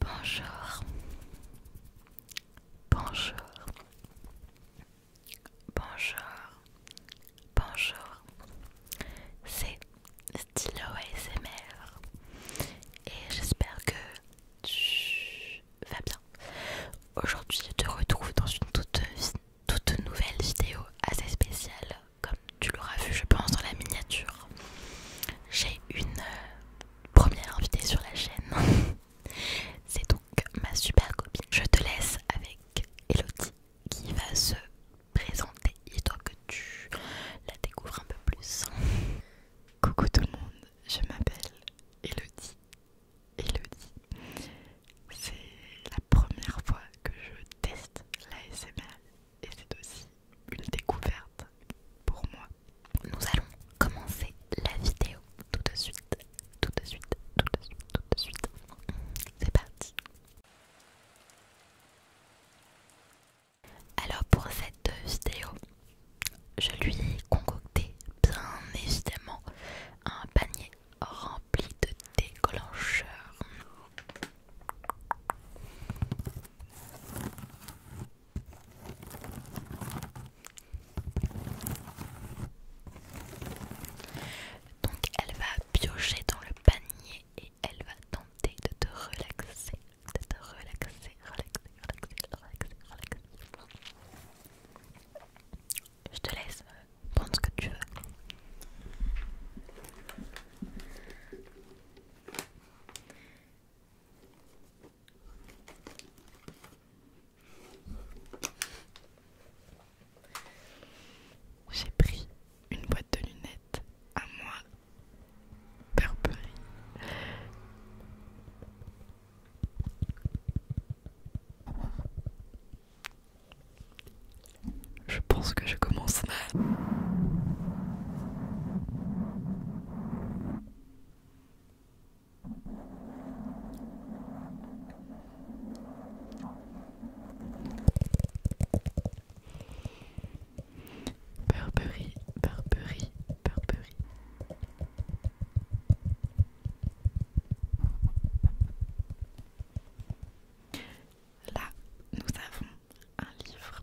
Bonjour. Bonjour. Bonjour. Bonjour. C'est Stylo ASMR. Et j'espère que tu vas bien. Aujourd'hui, je te retrouve dans une toute, toute nouvelle vidéo assez spéciale, comme tu l'auras vu je pense dans la miniature. J'ai une euh, première invitée sur la chaîne. C'est donc ma super copine. Je te laisse avec Elodie qui va se présenter Et toi, que tu la découvres un peu plus. Coucou tout le monde, je m'appelle Elodie. Elodie, c'est la première fois que je teste la l'ASMR et c'est aussi une découverte pour moi. Nous allons commencer la vidéo tout de suite, tout de suite, tout de suite, tout de suite. C'est parti. Alors pour cette vidéo, je lui ai concocté bien évidemment un panier rempli de déclencheurs. Donc elle va piocher dans le panier et elle va tenter de te relaxer, de te relaxer, relaxer, relaxer, relaxer, relaxer. Je te laisse euh, prendre ce que tu veux. J'ai pris une boîte de lunettes à moi, Burberry. Je pense que je commence Burberry, Burberry, Burberry. Là, nous avons un livre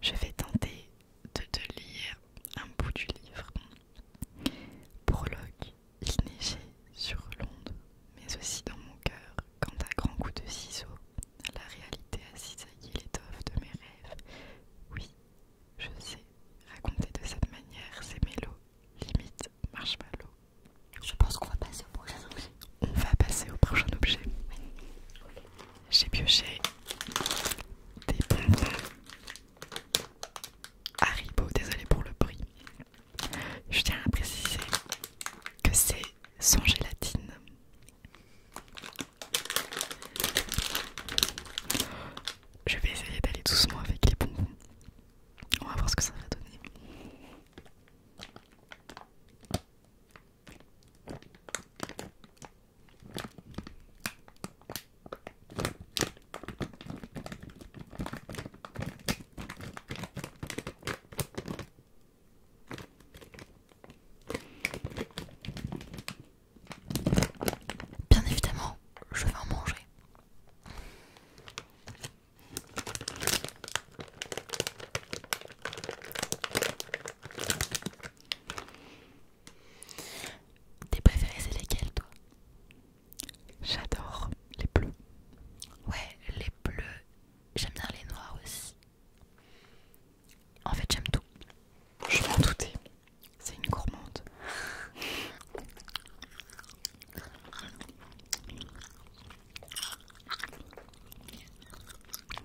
Je vais tenter de te lire un bout du livre. Prologue, il neigeait sur l'onde, mais aussi dans mon cœur, quand à grand coup de ciseaux, la réalité a cisaillé l'étoffe de mes rêves. Oui, je sais, raconter de cette manière, c'est mélo, limite marshmallow. Je pense qu'on va passer au prochain objet. On va passer au prochain objet. J'ai pioché des bonbons Haribo, désolé pour le bruit. Je tiens à préciser que c'est sans gélatine. Je vais essayer d'aller doucement avec les bonbons. On va voir ce que ça va donner. Bien évidemment, je vais en manger. Tes préférés, c'est lesquels, toi J'adore les bleus. Ouais, les bleus. J'aime bien les noirs aussi. En fait, j'aime tout. Je m'en doutais. C'est une gourmande.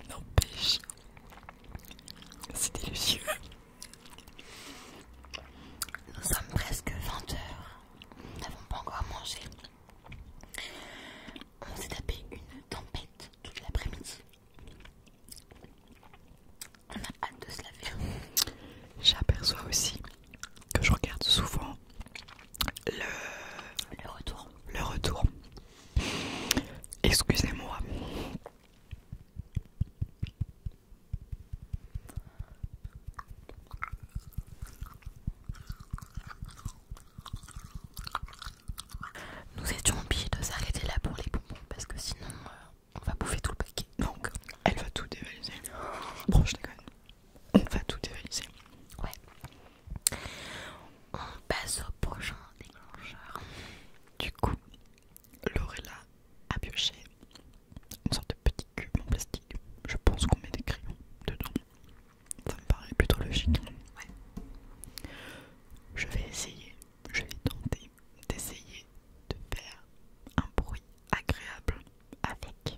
N'empêche, c'est délicieux. Nous sommes presque 20 h Nous n'avons pas encore mangé. On s'est tapé une tempête toute l'après-midi. On a hâte de se laver. J'aperçois aussi que je regarde souvent le, retour. Le retour. Excusez-moi. Nous étions obligés de s'arrêter là pour les bonbons parce que sinon euh, on va bouffer tout le paquet. Donc elle va tout dévaliser. Bon, je déconne on va tout dévaliser. Ouais. On passe au prochain déclencheur. Du coup, Lorella a pioché une sorte de petit cube en plastique. Je pense qu'on met des crayons dedans. Ça me paraît plutôt logique. Ouais. Je vais essayer, je vais tenter d'essayer de faire un bruit agréable avec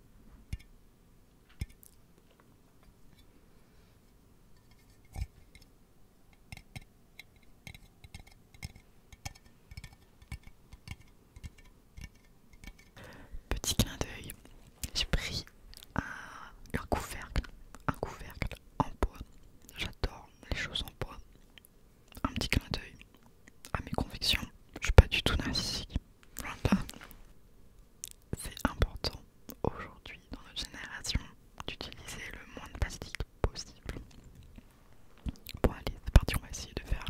Petit clin d'œil, j'ai pris un, couvercle, un couvercle en bois. J'adore les choses en bois. Un petit clin d'œil à mes convictions. Je suis pas du tout narcissique. C'est important aujourd'hui dans notre génération d'utiliser le moins de plastique possible. Bon allez, c'est parti, on va essayer de faire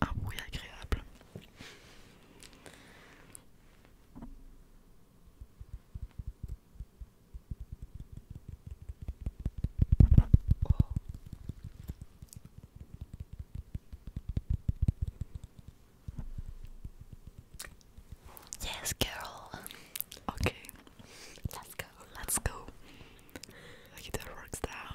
un bruit agréable. Oh. Yes, girl. Okay. Let's go. Let's go. Like it works down.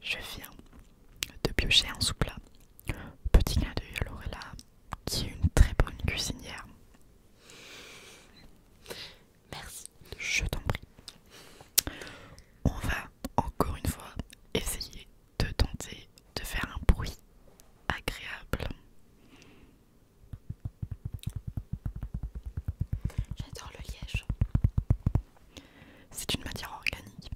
Je viens de piocher un sous Petit gars de à Lorella, qui est une très bonne cuisinière. Merci. Je t'en prie. On va encore une fois essayer de tenter de faire un bruit agréable. J'adore le liège. C'est une matière organique.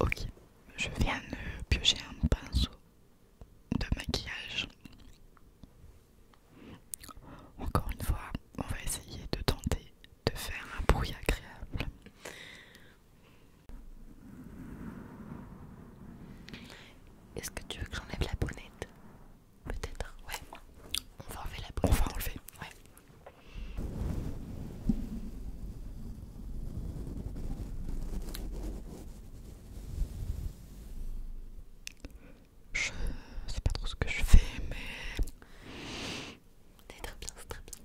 Ok, je viens de piocher un pinceau de maquillage. Encore une fois, on va essayer de tenter de faire un bruit agréable. Est-ce que tu veux que j'enlève la bonnette Peut-être, ouais. On va enlever la bonnette. enlever, je sais pas trop ce que je fais, mais. C'est très bien, c'est très bien.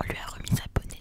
On lui a remis sa bonnette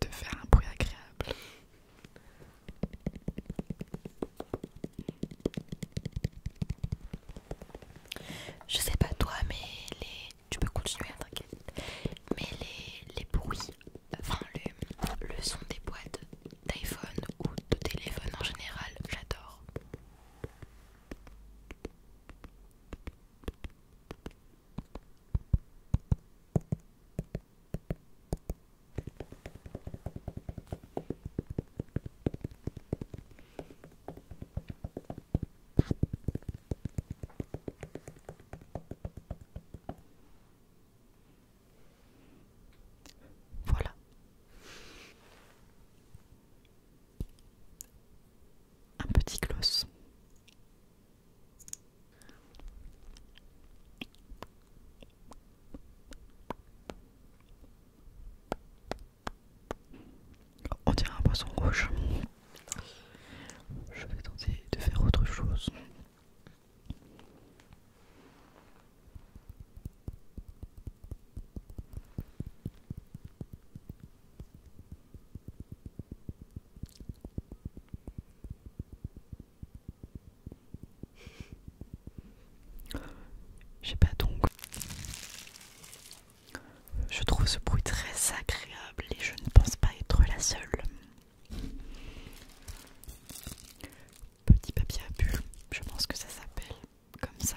de faire un bruit agréable. Je sais pas toi, mais les... tu peux continuer, hein, t'inquiète. Mais les, bruits, enfin le son des boîtes d'iPhone ou de téléphone en général, j'adore. Voilà. Un petit gloss on dirait un poisson rouge. Je vais tenter de faire autre chose. Je sais pas donc. Je trouve ce bruit très agréable et je ne pense pas être la seule. Petit papier à bulles, je pense que ça s'appelle comme ça.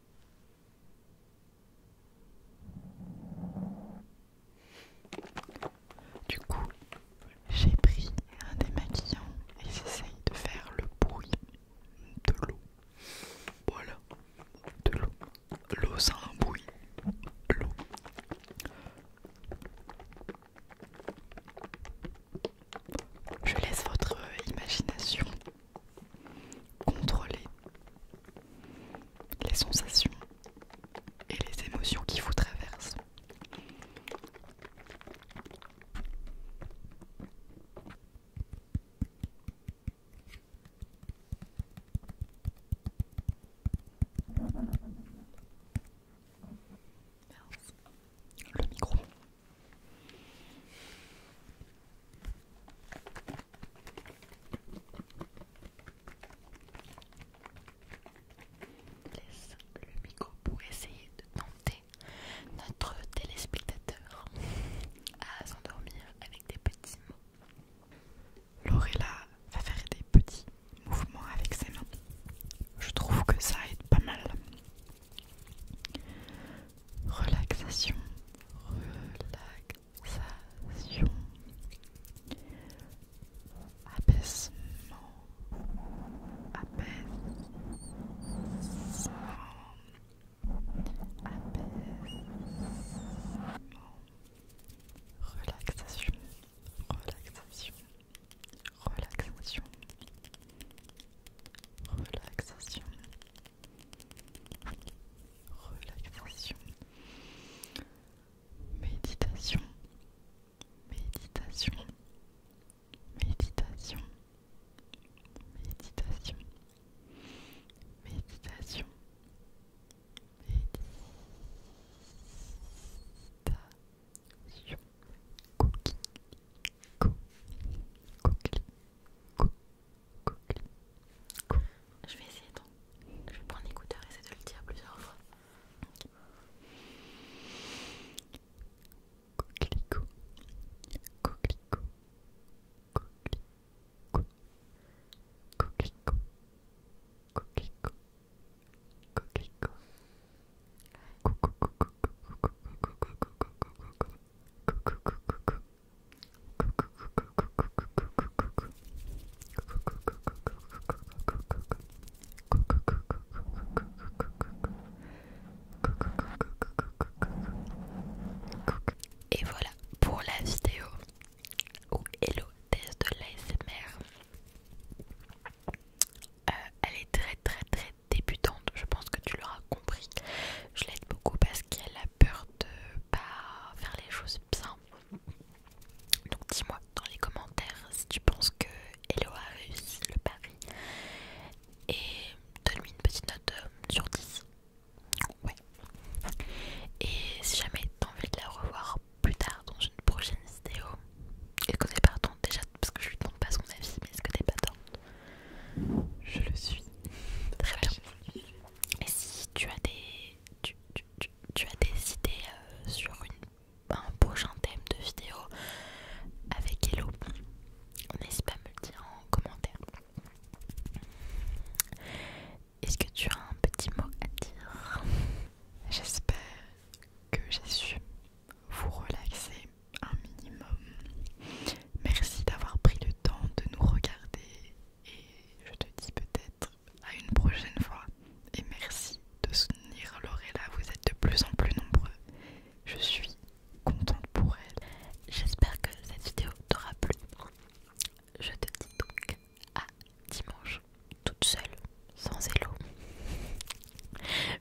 Du coup, j'ai pris un démaquillant et j'essaye de faire le bruit de l'eau. Voilà, de l'eau. L'eau, sans un bruit. L'eau. Je laisse votre imagination Contrôler les sensations et les émotions qui vous traversent. Le micro. Laisse le micro pour essayer de tenter notre téléspectateur à s'endormir avec des petits mots. Lorella va faire des petits mouvements avec ses mains. Je trouve que ça aide pas mal Relaxation, relaxation, apaisement, apaisement, apaisement, relaxation, relaxation, relaxation, relaxation, relaxation, méditation, méditation, méditation, méditation, méditation. Méditation. Cookie, cou, cookie, cou, cookie, Je vais essayer donc. Je vais prendre l'écouteur et essayer de le dire plusieurs fois. Okay. Coquelicot, coquelicot, coquelicot, coquelicot, coquelicot, coquelicot, et voilà pour la vidéo où Hello test de l'ASMR. Euh, elle est très très très débutante, je pense que tu l'auras compris. Je l'aide beaucoup parce qu'elle a peur de pas faire les choses bien. Donc dis-moi dans les commentaires si tu penses que Hello a réussi le pari. Et donne-lui une petite note euh, sur 10. Ouais. Et si jamais t'as envie de la revoir plus tard dans une prochaine vidéo, Écoutez ce pas déjà Parce que je lui demande pas son avis, mais est-ce que t'es partante je le suis. Très bien. Et si tu as des, tu, as des idées euh, sur un prochain thème de vidéo avec Hello, n'hésite pas à me le dire en commentaire. Est-ce que tu as un petit mot à dire J'espère que j'ai su vous relaxer un minimum. Merci d'avoir pris le temps de nous regarder et je te dis peut-être à une prochaine fois. Et merci de soutenir Lorella, vous êtes de plus en plus nombreux. Je suis contente pour elle. J'espère que cette vidéo t'aura plu. Je te dis donc à dimanche, toute seule, sans élo